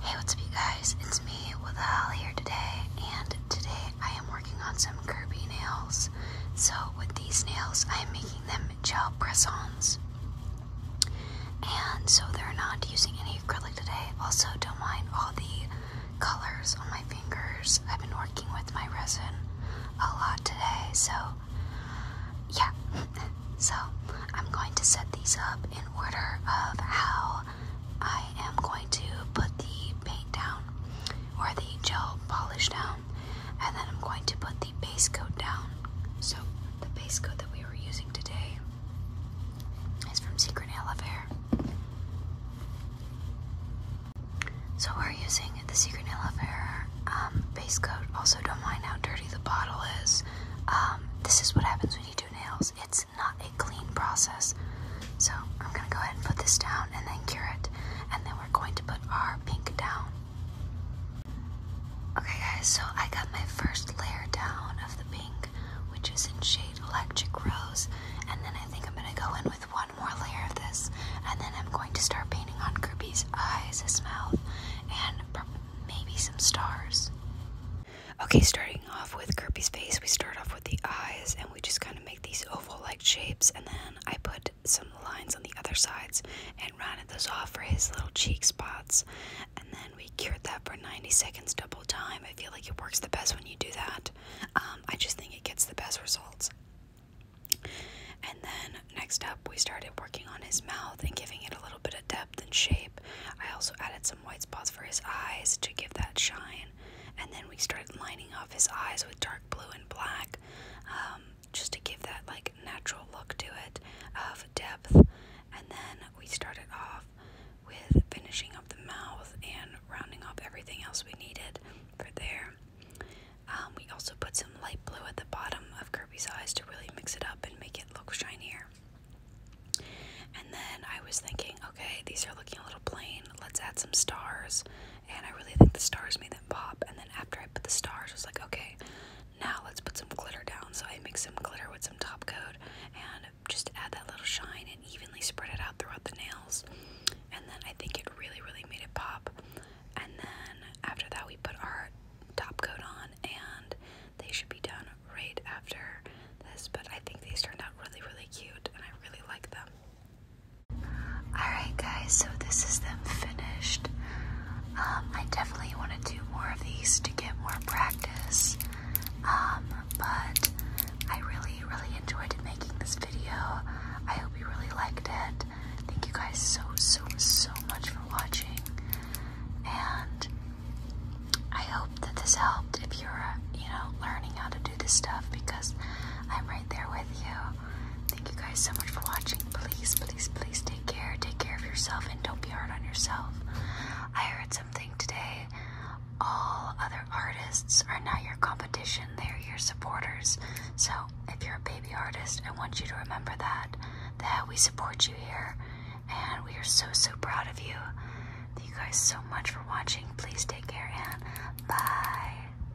Hey, what's up, you guys? It's me, What the Hell, here today, and today I am working on some Kirby nails. So, with these nails, I am making them gel press ons, and so they're not using any acrylic today. Also, don't mind all the colors on my fingers, I've been working with my resin a lot today, so yeah, so I'm going to set these up in order of how I am going to put the paint down or the gel polish down, and then I'm going to put the base coat down. So, the base coat that we were using today is from Secret Nail Affair. So we're using the Secret Nail Affair um, base coat. Also, don't mind how dirty the bottle is. Um, this is what happens when you do nails. It's not a clean process. So I'm gonna go ahead and put this down and then cure it. And then we're going to put our pink down. Okay guys, so I got my first layer down of the pink, which is in shade Electric Rose. And then I think I'm gonna go in with one one more layer of this, and then I'm going to start painting on Kirby's eyes, his mouth, and maybe some stars. Okay, starting off with Kirby's face, we start off with the eyes, and we just kind of make these oval-like shapes, and then I put some lines on the other sides and rounded those off for his little cheek spots, and then we cured that for 90 seconds double time. I feel like it works the best when you do that. Um, um, I just think it gets the best results. And then next up, we started working on his mouth and giving it a little bit of depth and shape. I also added some white spots for his eyes to give that shine. And then we started lining off his eyes with dark blue and black um, just to give that like natural look to it of depth. And then we started off with finishing up the mouth and rounding off everything else we needed for there. Um, we also put some light blue at the bottom of Kirby's eyes to really mix it up and make it look shinier. And then I was thinking, okay, these are looking a little plain. Let's add some stars. And I really think the stars made them pop. And then after I put the stars, I was like, okay, now let's put some glitter down. So I mix some glitter with some top coat and just add that little shine and evenly spread it out throughout the nails. And then I think it really, really made it pop. And then after that, we put our top coat on, and they should be done right after this. But I think these turned out really, really cute, and I really like them. Alright, guys, so this is them finished. Um, I definitely want to do more of these to get more practice. Um, but I really, really enjoyed making this video. I hope you really liked it. Thank you guys so, so, so much for watching. And I hope that this helped if you're, you know, learning how to do this stuff because I'm right there with you. Thank you guys so much for watching. Please, please, please take care. Take care of yourself and don't be hard on yourself. I heard something today. All other artists are not your competition, they're your supporters. So if you're a baby artist, I want you to remember that. That we support you here and we are so so proud of you. Thank you guys so much for watching. Please take care and bye.